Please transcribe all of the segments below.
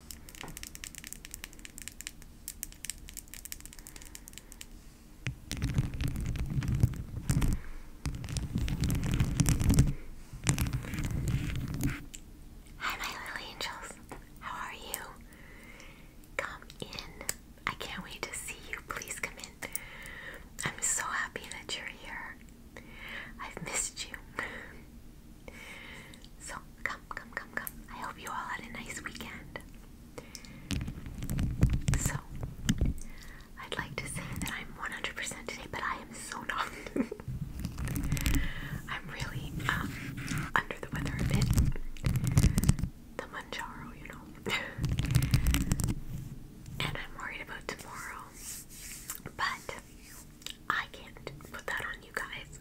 Hi, my little angels. How are you? Come in. I can't wait to see you. Please come in. I'm so happy that you're here. I've missed you. So, come come, come, come, come. I hope you all had a nice weekend. So, I'd like to say that I'm 100% today, but I am so not. I'm really um, under the weather a bit. The Manjaro, you know. and I'm worried about tomorrow. But I can't put that on you guys.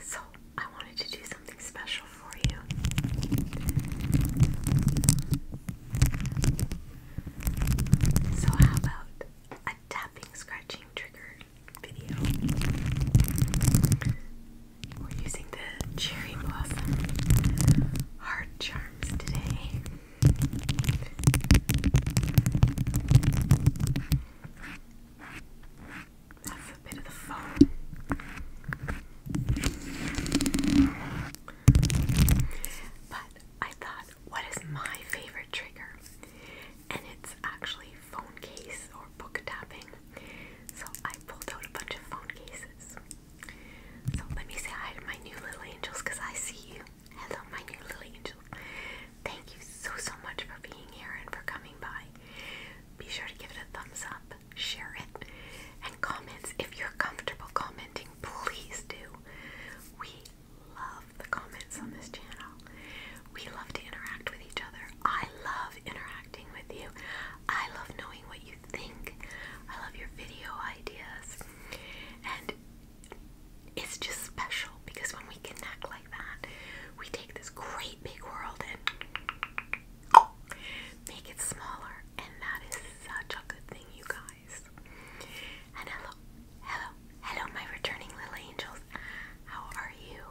So I wanted to do something special for you. So how about a tapping scratching trigger video? We're using the cherry blossom heart charms today. That's a bit of the foam. But I thought, what is my favorite trigger? And it's actually phone case or book tapping. So I pulled out a bunch of phone cases. So let me say hi to my new little angels because I see you. Hello, my new little angel. Thank you so, so much for being here and for coming by. Be sure to give it a thumbs up, share it, and comments. If you're comfortable commenting, please do. We love the comments on this channel. We love to interact with each other. I love interacting with you. I love knowing what you think. I love your video ideas. And it's just special because when we connect like that, we take this great big world and make it smaller, and that is such a good thing, you guys. hello, hello, hello, my returning little angels. How are you?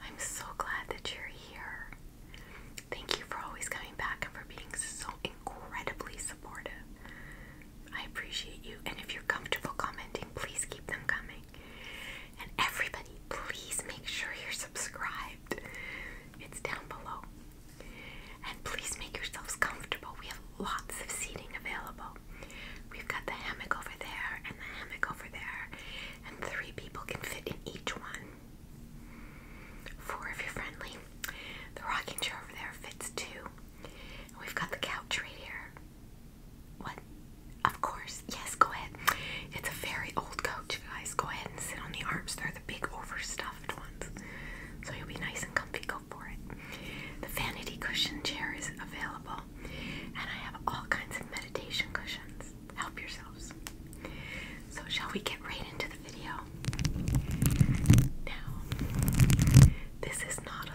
I'm so glad that you're here. Thank you for always coming back and for being so incredibly supportive. I appreciate you. And if you're comfortable commenting, please keep them coming. And everybody, please make sure you're subscribed. It's down below. And please make yourselves comfortable. We have lots of seating available. We've got the hammock over there and the hammock over there. And three people can fit in each one. Four if you're friendly. The rocking chair over there fits two we've got the couch right here. What? Of course. Yes, go ahead. It's a very old couch, guys. Go ahead and sit on the arms. They're the big overstuffed ones. So you'll be nice and comfy. Go for it. The vanity cushion chair is available. And I have all kinds of meditation cushions. Help yourselves. So, shall we get right into the video? Now, this is not a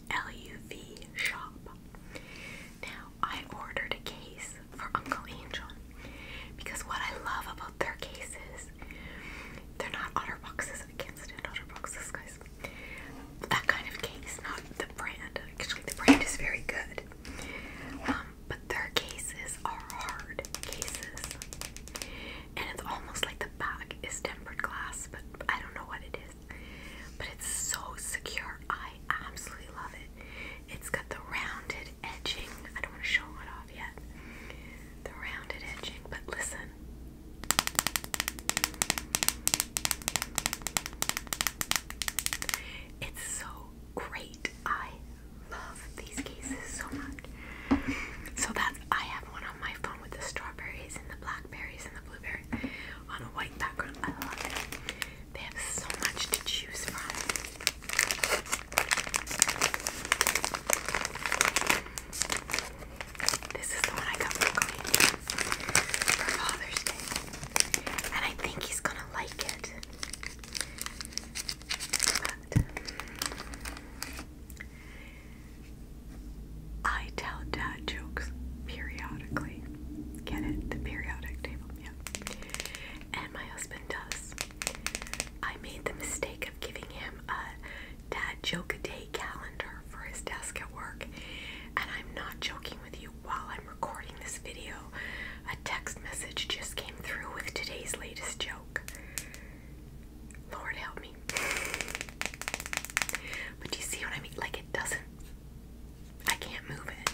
LUV shop. Now, I ordered a case for Uncle Angel because what I love about their cases, they're not otter boxes. I can't stand otter boxes, guys. That kind of case, not the brand. Actually, the brand is very good. Um, but their cases are hard cases. And it's almost like the back is tempered glass, but I don't know what it but it's so secure. I absolutely love it. It's got the rounded edging. I don't want to show it off yet. The rounded edging, but listen. It's so great. I love these cases so much. So that's I have one on my phone with the strawberries and the black blackberries and the blueberry on a white background. I love it. They have so much to choose from. This is the one I got for Queen for Father's Day. And I think he's gonna like it. I tell dad jokes periodically. Get it? The periodic table, yeah. And my husband does. I made the mistake of giving him a dad joke a day calendar for his desk at work. And I'm not joking with you, while I'm recording this video, a text message just came through with today's latest joke. Lord help me. But you see what I mean? Like it doesn't. I can't move it.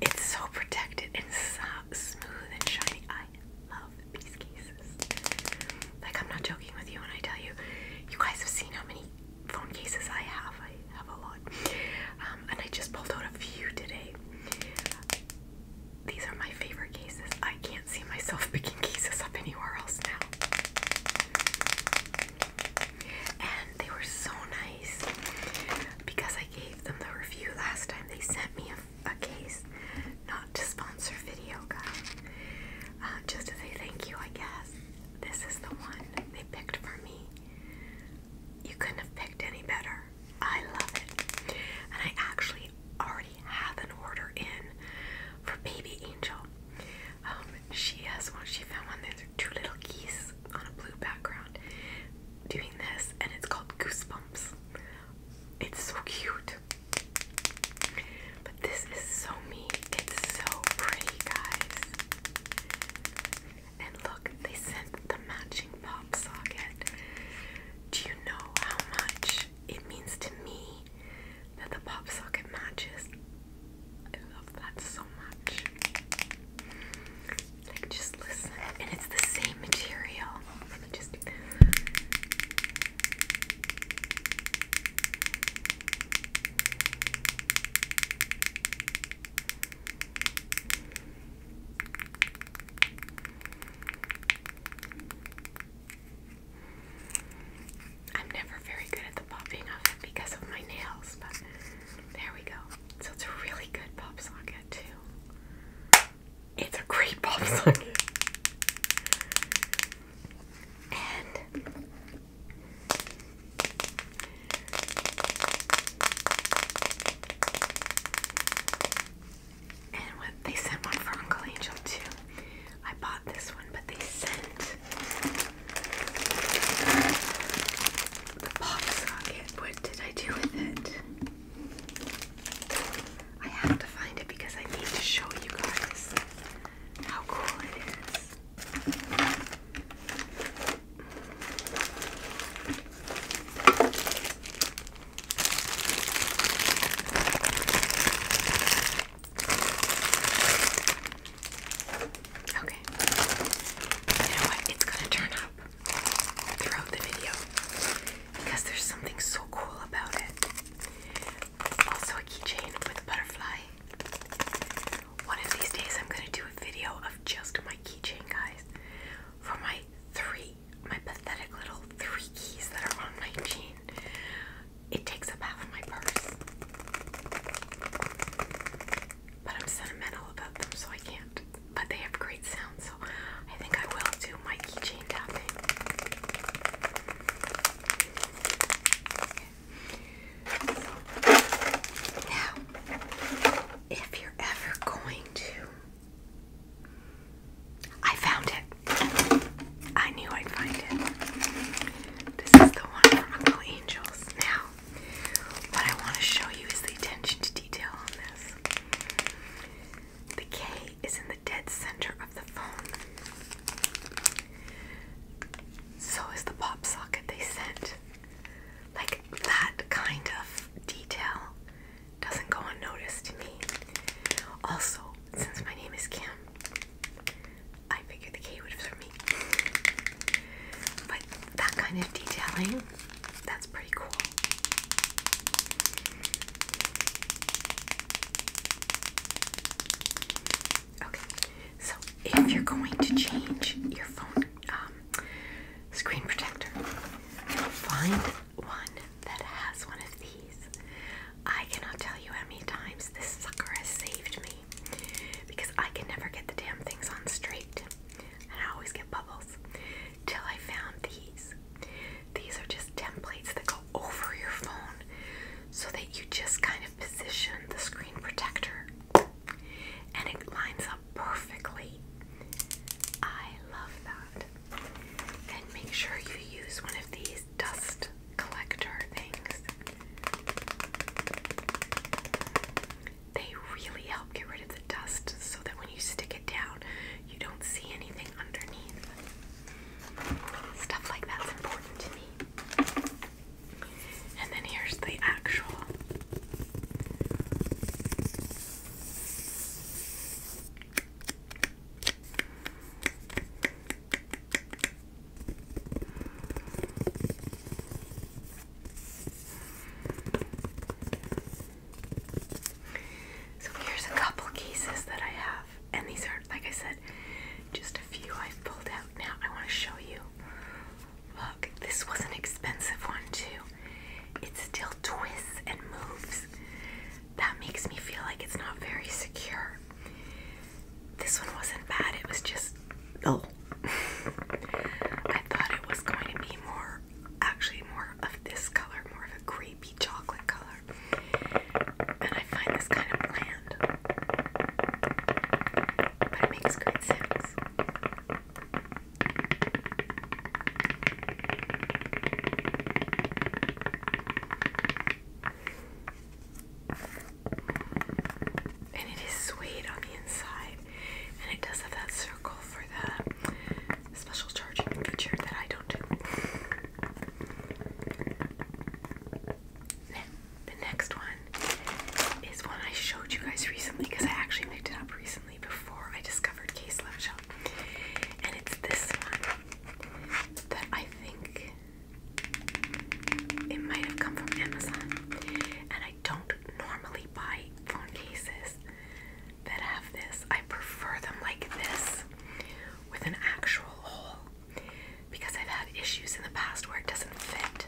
It's so protected and so smooth and shiny. I love these cases. Like I'm not joking with you when I tell you, you guys have seen how many phone cases I have. I have a lot. Um, and I just pulled out a few today. These are my favorite cases. I can't see myself picking cases up anywhere else now. And they were so nice because I gave them the review last time. They sent me a, a case, not to sponsor video, guys, uh, just to say thank you, I guess. This is the one they picked for me. You couldn't have picked any better. I love it. And I actually already have an order in for Baby Angel. Um, she has one. She found one. There's two little geese on a blue background doing this, and it's called Goosebumps. It's so cute. But this is so me. It's so pretty, guys. And look, they sent the matching pop socket. Do you know how much it means to me that the pop socket matches. I love that so much. Like, just listen, and it's the same material. Let me just I'm never very good at the popping of it because of my nails, but there we go. So it's a really good pop socket, too. It's a great pop socket. And and they sent one for Uncle Angel too. I bought this one, but they sent the pop socket. What did I do with it? I have to find it because I need to show you guys how cool it is. Okay. You know what? It's gonna turn up throughout the video because there's something so cool about it. Also, a keychain with a butterfly. One of these days, I'm gonna do a video of just my keychain, guys, for my three my pathetic little three keys that are on my chain It takes up half my purse. But I'm sentimental about them, so I can't. But they have great sound, so I think I will do my keychain tapping. Okay. Now, if you're ever going to I found it. I knew I'd find it. This is the one from Uncle Angels. Now, what I want to show you is the attention to detail on this. The K is in the dead center of the phone. So is the pop socket they sent. Like that kind of detail doesn't go unnoticed to me. Also, since my name is Kim, I figured the K would for me. But that kind of detailing, that's pretty cool. Okay, so if you're going to change your phone um, screen protector, find one that has one of these. I cannot tell you how many times this sucker has saved me because I can never get the damn things on straight and I always get bubbles till I found these. These are just templates that go over your phone so that you just kind of position the screen protector and it lines up perfectly. I love that. And make sure you use one of these dust collector things. They really help get rid of the dust so that when you stick it down, you don't see anything underneath. Stuff like that's important to me. And then here's the actual so here's a couple cases that I have, and these are, like I said, just a few I've pulled out now. I want to show you. Look, this was an expensive one, too it still twists and moves. That makes me feel like it's not very secure. This one wasn't bad, it was just. Oh. I thought it was going to be more, actually, more of this color, more of a creepy chocolate color. And I find this kind of bland. But it makes great sense. And it is sweet on the inside, and it does have that circle for the special charging feature that I don't do. the next one is one I showed you guys recently because I actually picked it up recently before I discovered Case Love Shop. And it's this one that I think it might have come from Amazon. And I don't normally buy phone cases that have this. I prefer them like this with an actual hole because I've had issues in the past where it doesn't fit.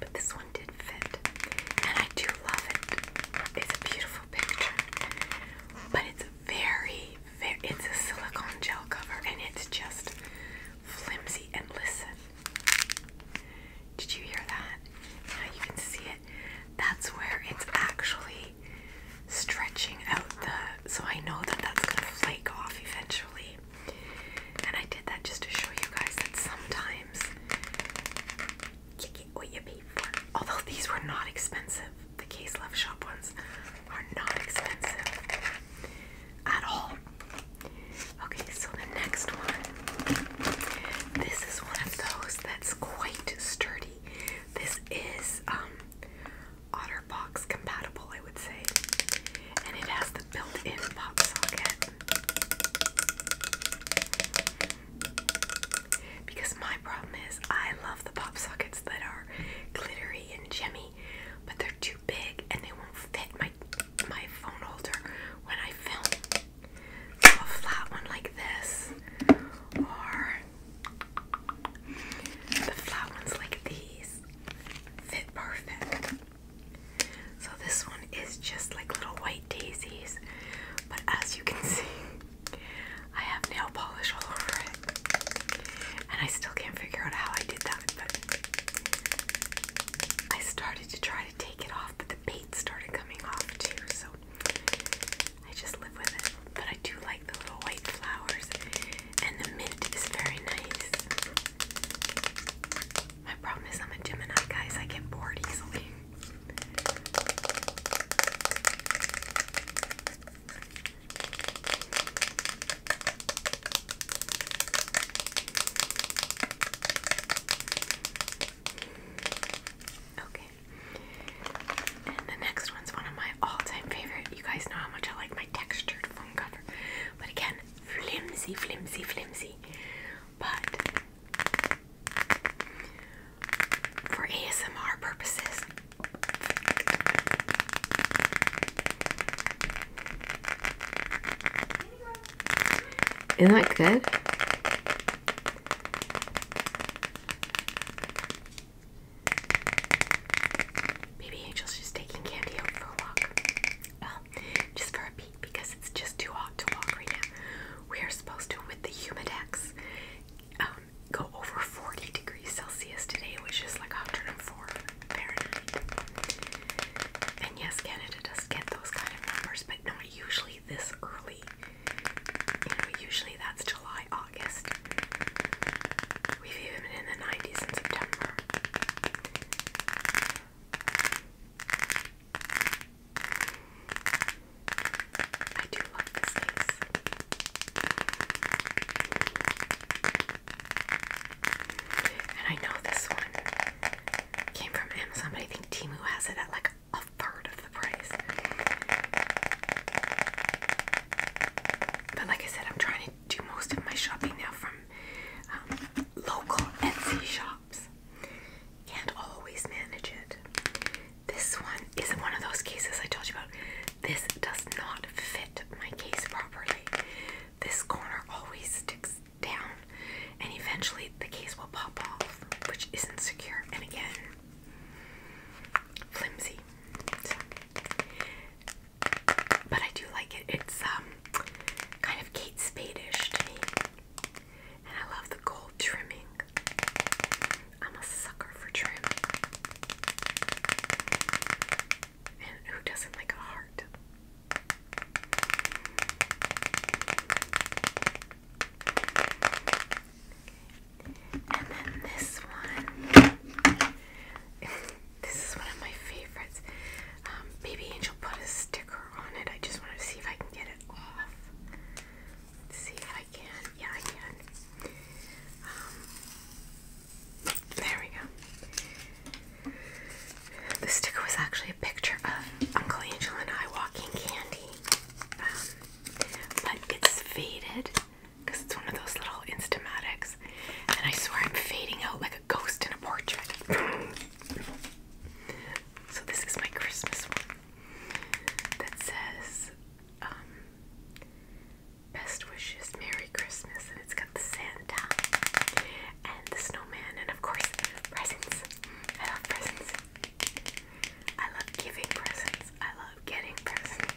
But this one did fit. And I do love it. It's a beautiful picture. But it's very, very, it's a silicone gel cover and it's just flimsy. And listen, did you hear that? Now you can see it. That's where it's actually stretching out the, so I know that that's going to flake off eventually. And I did that just to show you guys that sometimes Get what you pay for. Although these were not expensive. The Case Love Shop ones are not expensive at all. Okay, so the next one. This is one of those that's quite sturdy. This is um Otterbox compatible, I would say. And it has the built-in pop socket. Because my problem is, I love the pop sockets that are glittery and gemmy, but they're too big and they won't fit my my phone holder when I film. So flat one like this, or the flat ones like these, fit perfect. So this one is just like little white daisies, but as you can see, I have nail polish all over it. And I still can't figure out how I did that, but I started to try to take it off, but the paint started coming off too, so I just live with it. But I do like the little white flowers, and the mint is very nice. My problem is I'm a Gemini, guys. I get bored easily. Okay. the next one's one of my all-time favorite. You guys know how much I like my textured phone cover. But again, flimsy, flimsy, flimsy. But for ASMR purposes. Isn't that good? Baby Angel's just taking candy out for a walk just for a peek because it's just too hot to walk right now. We are supposed to, with the Humidex, um, go over 40 degrees Celsius today, which is like 104 Fahrenheit. And yes, Canada does get those kind of numbers, but not usually this early. You know, usually that's July, August. We've even been in the 90s in September. I do love this case. And I know this one came from Amazon, but I think Timu has it at like a third of the price. But like I said, I'm trying to do most of my shopping now from um, local Etsy shops. Can't always manage it. This one is one of those cases I told you about. This does not fit my case properly. This corner always sticks down, and eventually the case will pop off, which isn't secure. And again, flimsy. but I do like it. It's um kind of Kate Spade-ish to me. And I love the gold trimming. I'm a sucker for trim. And who doesn't like a heart? And then this one. This is one of my favorites. Um, Baby Angel put a sticker on it. I just want to see if I can get it off. Let's see if I can. Yeah, I can. Um, there we go. The sticker was actually a picture of Uncle Angel and I walking candy. Um, but it's faded because it's one of those little Instamatics. And I swear I'm fading out like a ghost in a portrait. so this is my Christmas one that says um, best wishes, Merry Christmas, and it's got the Santa and the snowman, and of course presents. I love presents. I love giving presents. I love getting presents.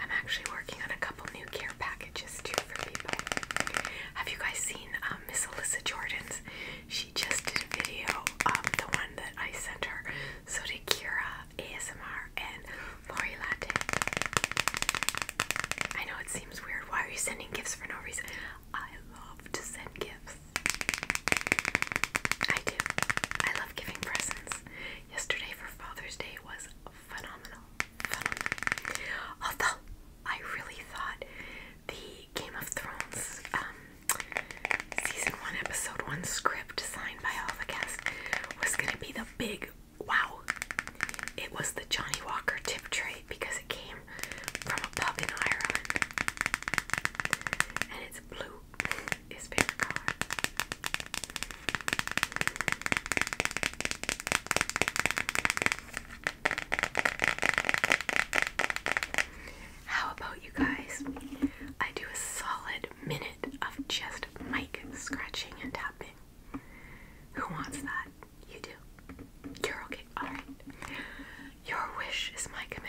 I'm actually working on a couple new care packages too for people. Have you guys seen um, Miss Alyssa Jordan's? She just did a video, of the one that I sent her. So did Kira ASMR and Lori Latte. I know it seems weird. Why are you sending gifts for no reason? I love to send gifts. I do. I love giving presents. Yesterday for Father's Day was phenomenal, Although I really thought the Game of Thrones um, season one, episode one script signed by all the cast was gonna be the big wow. It was the Johnny Walker tip tray because it came from a pub in Ireland, and it's blue. Is favorite color. How about you guys? I do a solid minute of just mic scratching and tapping. Who wants that? You do. You're okay. Alright. Your wish is my command.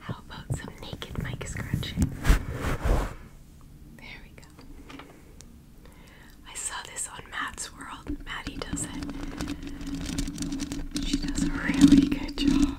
How about some naked mic scratching? There we go. I saw this on Matt's World. Maddie does it. She does a really good job.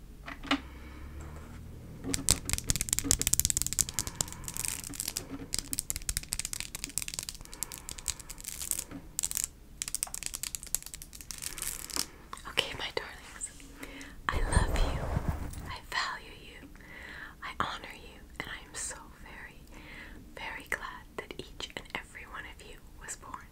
Okay, my darlings, I love you, I value you, I honor you, and I am so very, very glad that each and every one of you was born.